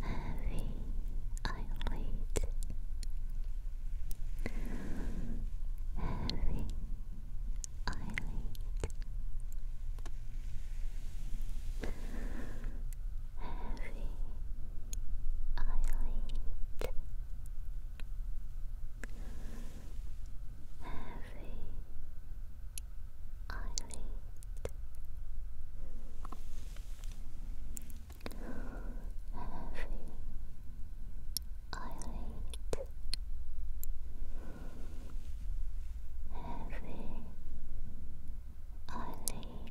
heavy eyelid, heavy eyelid, heavy eyelid. Heavy eyelid, eyelid. Every eyelid, every eyelid,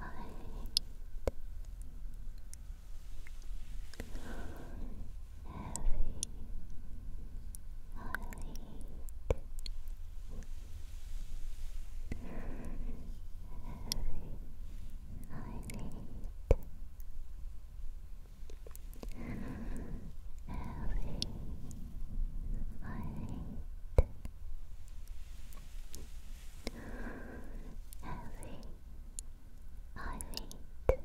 All right. Heavy. All right. Every eyelid, every light, heavy, I wait, heavy. Heavy,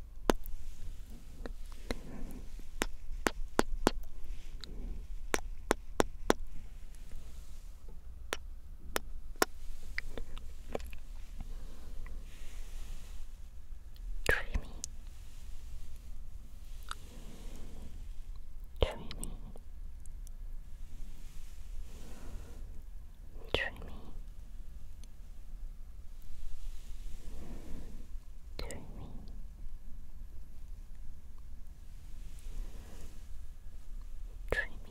Dreamy, dreamy, dreamy, dreamy. Dreamy,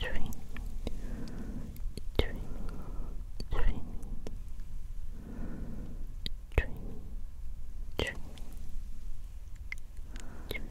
dreamy, dreamy, dreamy, dreamy, dreamy, dreamy,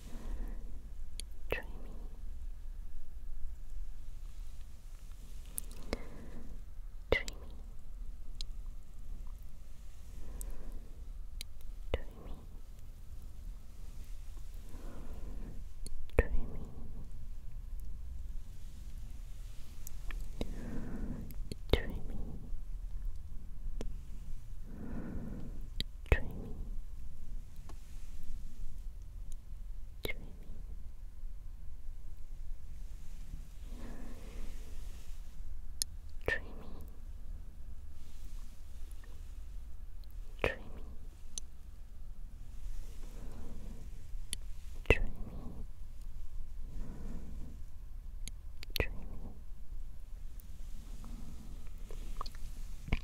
dreamy. Dreamy. Dreamy. Dreamy. Dreamy. Dreamy dreaming. Dreaming. Dreaming. Dreaming. Dreaming.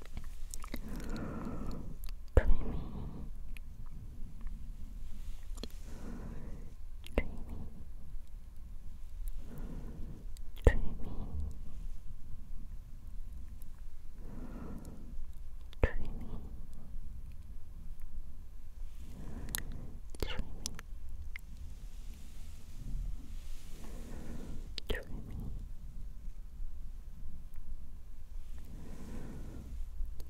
dreamy, dreamy, dreamy, dreamy. Dreamy. Dreamy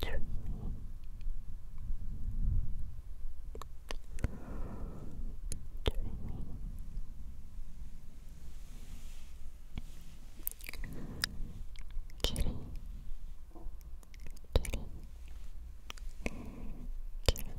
dreamy dreamy kitty kitty kitty kitty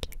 Kitty,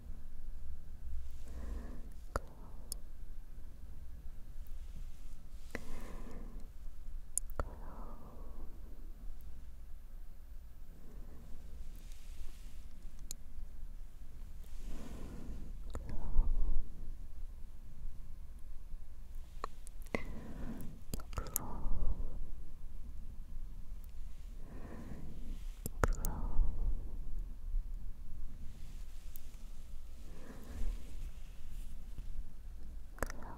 Go. Go. Go. Go glow. Glow. Glow. Glow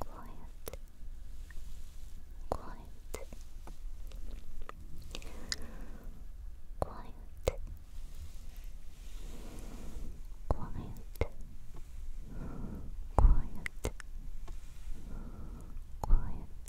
Quiet. Quiet. Quiet. Quiet. Quiet. Quiet. Quiet. Quiet.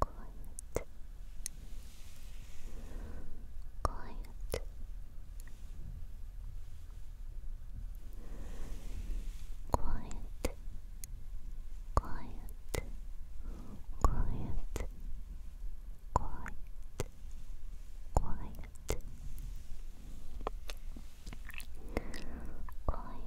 quiet, quiet. Quiet, quiet, quiet, quiet, quiet, quiet,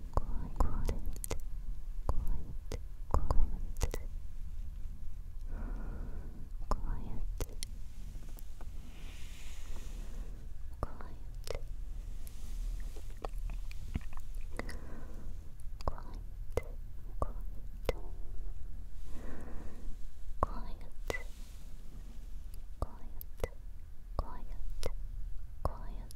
quiet, quiet, quiet, quiet, quiet, quiet. Quiet, quiet, quiet, quiet, quiet, quiet,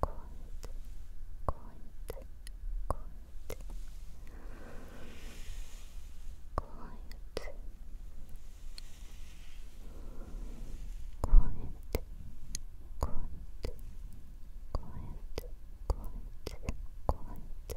Cold, cold, cold. Quiet, quiet, quiet, quiet, quiet, quiet, quiet, quiet,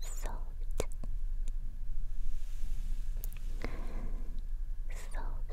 Soft, soft.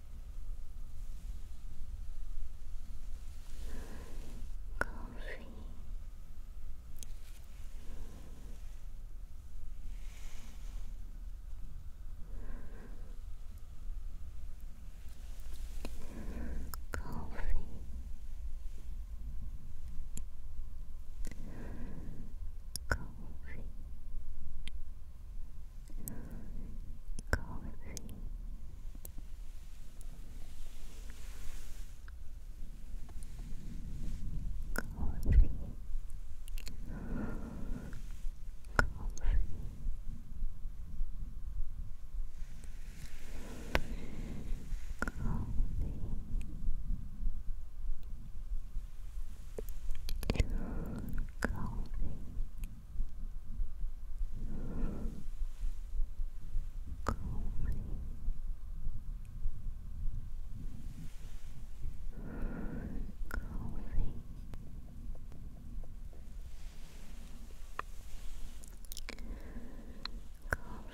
coffee. Coffee. Coffee. Coffee. Coffee. Coffee. Coffee. Coffee calming calming Coffee. Coffee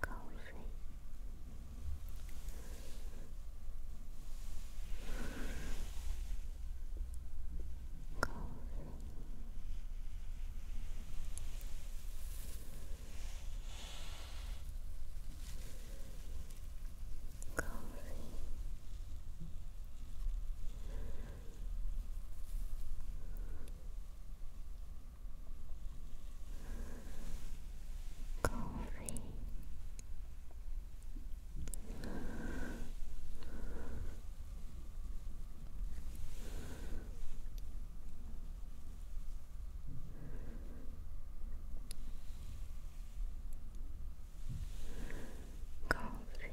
cozy. Cozy. Cozy coffee. Coffee. Coffee.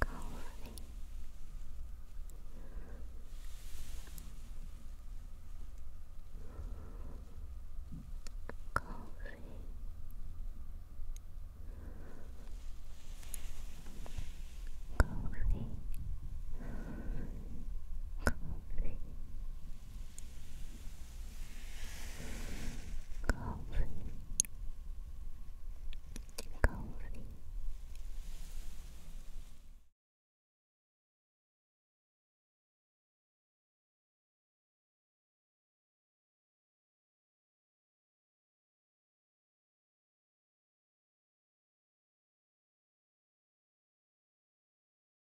Coffee. Coffee. Coffee. Coffee coffee, coffee.